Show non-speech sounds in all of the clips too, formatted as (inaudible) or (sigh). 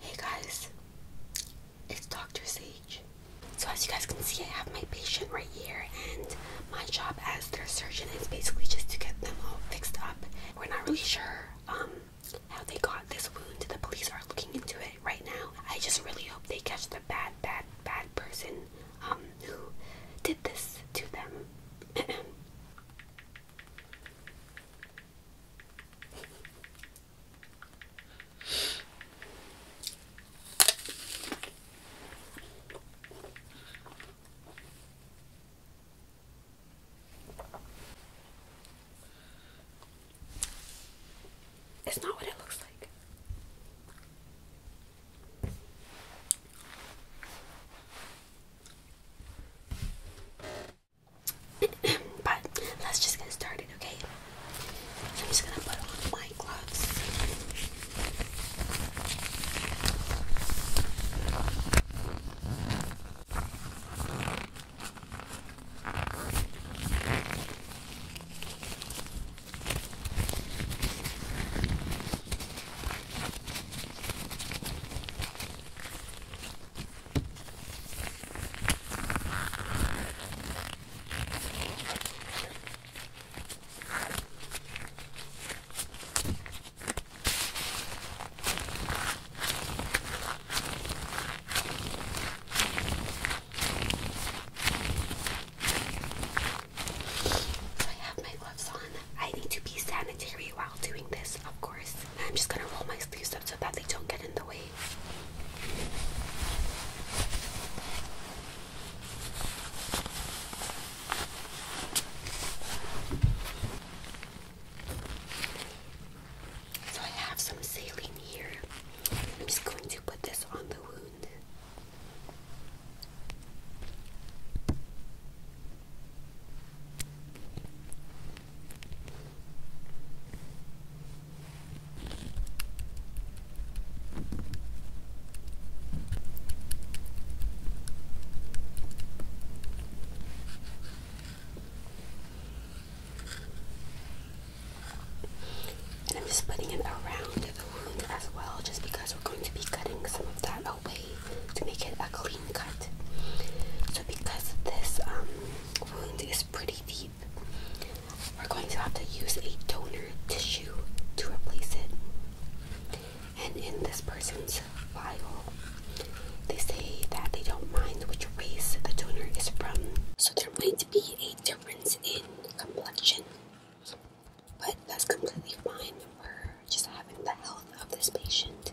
Hey guys, it's Dr. Sage. So as you guys can see, I have my patient right here and my job as their surgeon is basically just to get them all fixed up. We're not really sure um, how they got this wound. The police are looking into it right now. I just really hope they catch the bad, bad, bad person um, who did this to them. (clears throat) It's not what it looks like. (coughs) but let's just get started, okay? So I'm just gonna put on my gloves. I have my gloves on. I need to be sanitary while doing this, of course. I'm just gonna roll my sleeves up so that they don't get in the way. So I have some saline here. I'm just going to put this on the wound. And I'm just putting it around the wound as well, just because we're going to be cutting some of that away to make it a clean cut. So because this um, wound is pretty deep, we're going to have to use a donor tissue to replace it. And in this person's file, they say that they don't mind which race the donor is from. So there might be a difference in complexion, but that's completely fine. We're just having the health of this patient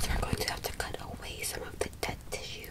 So we're going to have to cut away some of the dead tissue.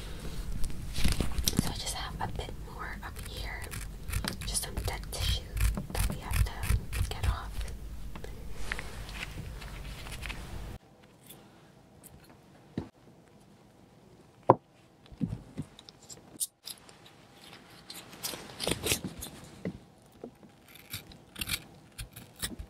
So I just have a bit more up here, just some dead tissue that we have to get off.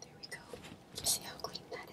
There we go. see how clean that is?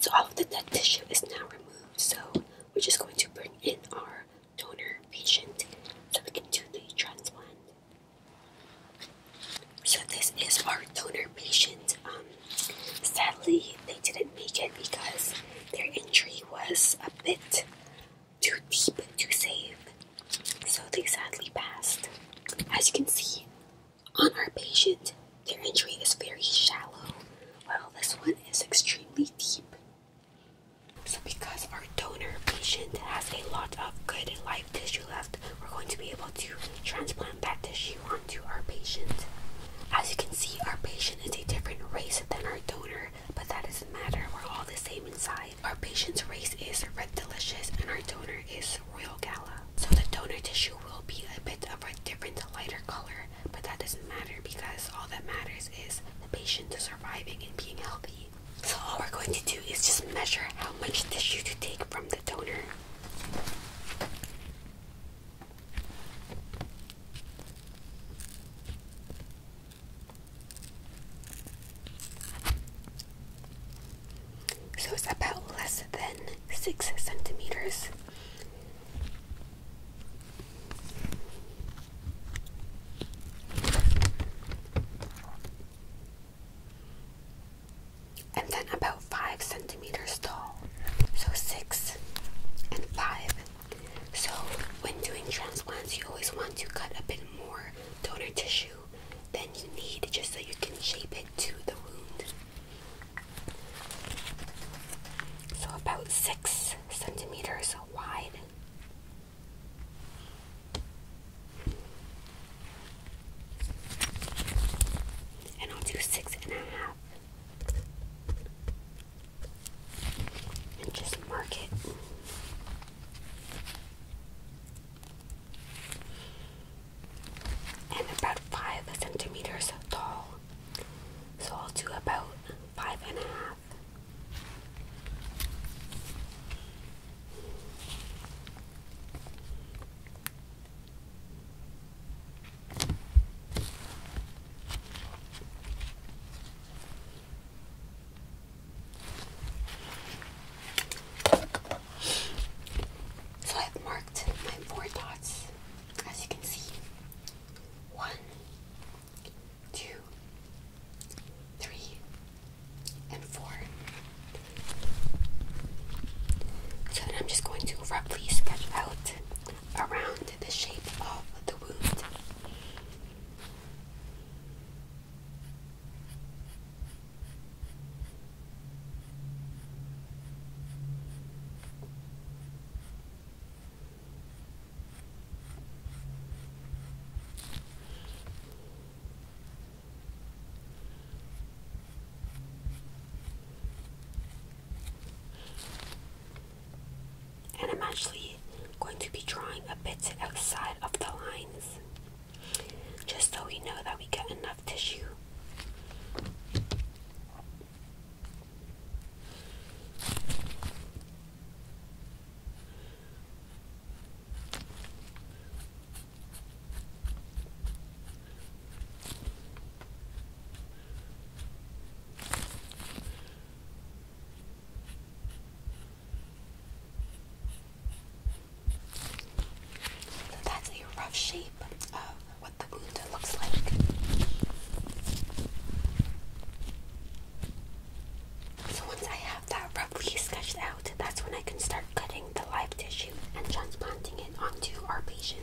So all of the dead tissue is now removed. So we're just going to bring in our donor patient so we can do the transplant. So this is our donor patient. Um, sadly, they didn't make it because their injury was a bit too deep to save. So they sadly passed. As you can see on our patient, their injury is very shallow, while this one is extremely deep. So because our donor patient has a lot of good life tissue left we're going to be able to transplant that tissue onto our patient. As you can see, our patient is a different race than our donor, but that doesn't matter. We're all the same inside. Our patient's race is Red Delicious, and our donor is Royal Gala. So the donor tissue will be a bit of a different, lighter color, but that doesn't matter because all that matters is the patient surviving and being healthy. So all we're going to do is just measure how much tissue to take from so it's about less than six centimeters and then about five centimeters tall. So six and five. So when doing transplants, you always want to cut a bit more donor tissue than you need just so you can shape it to the wound. So about six centimeters wide. And I'll do six and a half. And just mark it. And about five centimeters tall. So I'll do about five and a half. So I've marked my four dots as you can see. One, two, three, and four. So then I'm just going to roughly sketch out around the shape of the wound. And I'm actually going to be drawing a bit outside of the lines just so we know that we get enough tissue. That's a rough shape of what the wound looks like. So once I have that roughly sketched that's when I can start cutting the live tissue and transplanting it onto our patient.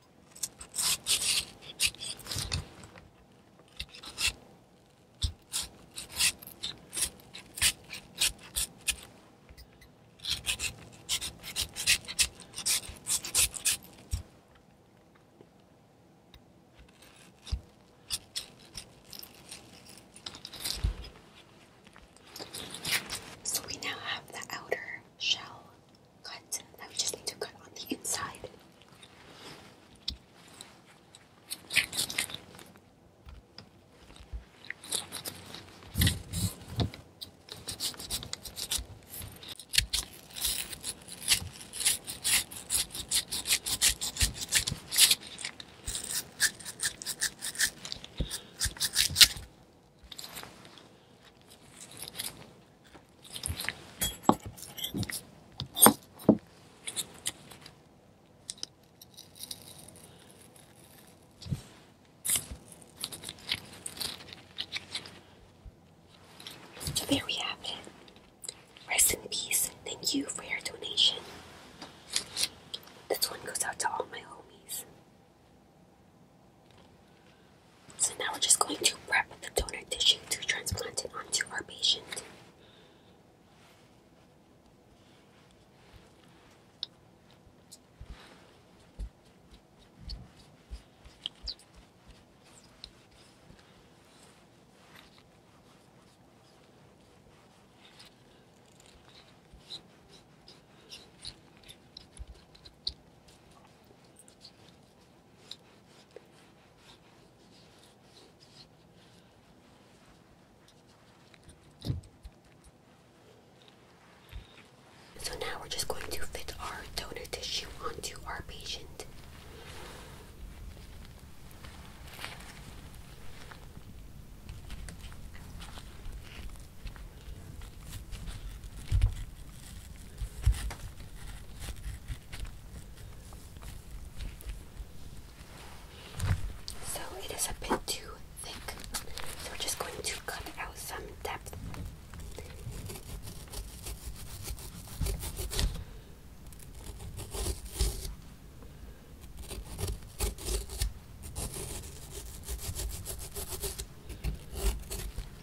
So we now have the outer shell cut. Now we just need to cut on the inside there we have it. Rest in peace. Thank you for your donation. This one goes out to all my homies. So now we're just going to prep the donor tissue to transplant it onto our patient. So now we're just going to fit our donor tissue onto our patient. So it is a bit too thick. So we're just going to cut out some depth.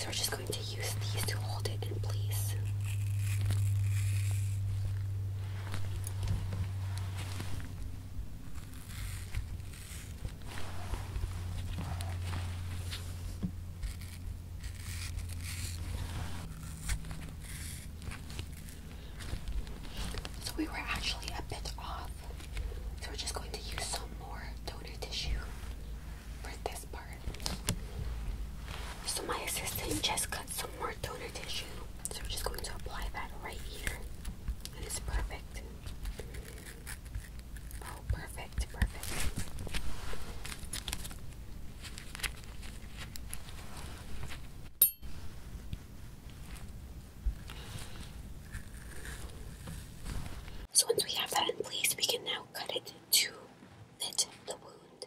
So we're just going to use these to hold it in place. So we were actually a bit off. So we're just going to use some more donor tissue for this part. So my assistant just cut some more donor tissue. So we're just going to apply that right here. And it's perfect. Oh, perfect, perfect. So once we have that in place, we can now cut it to fit the wound.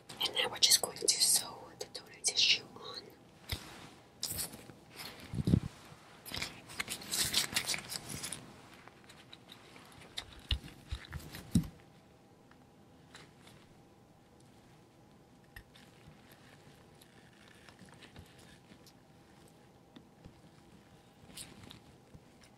And now we're just going to sew the donut tissue on.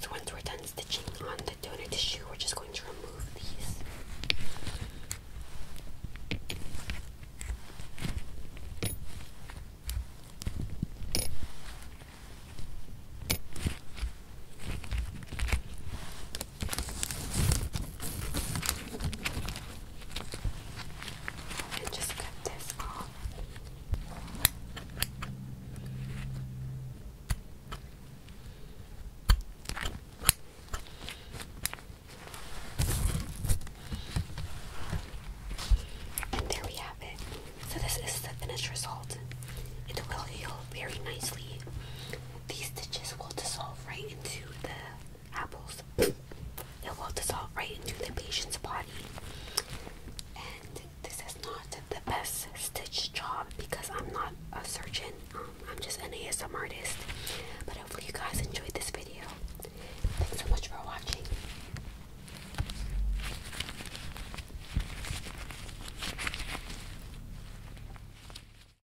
So once we're done stitching on the donor tissue, we're just going to remove these. And just cut this off. And there we have it. So this is the finished result. It will heal very nicely. These stitches will dissolve right into the apples, it will dissolve right into the patient's body. And this is not the best stitch job because I'm not a surgeon, um, I'm just an ASM artist. But hopefully, you guys enjoyed this video. Thanks so much for watching.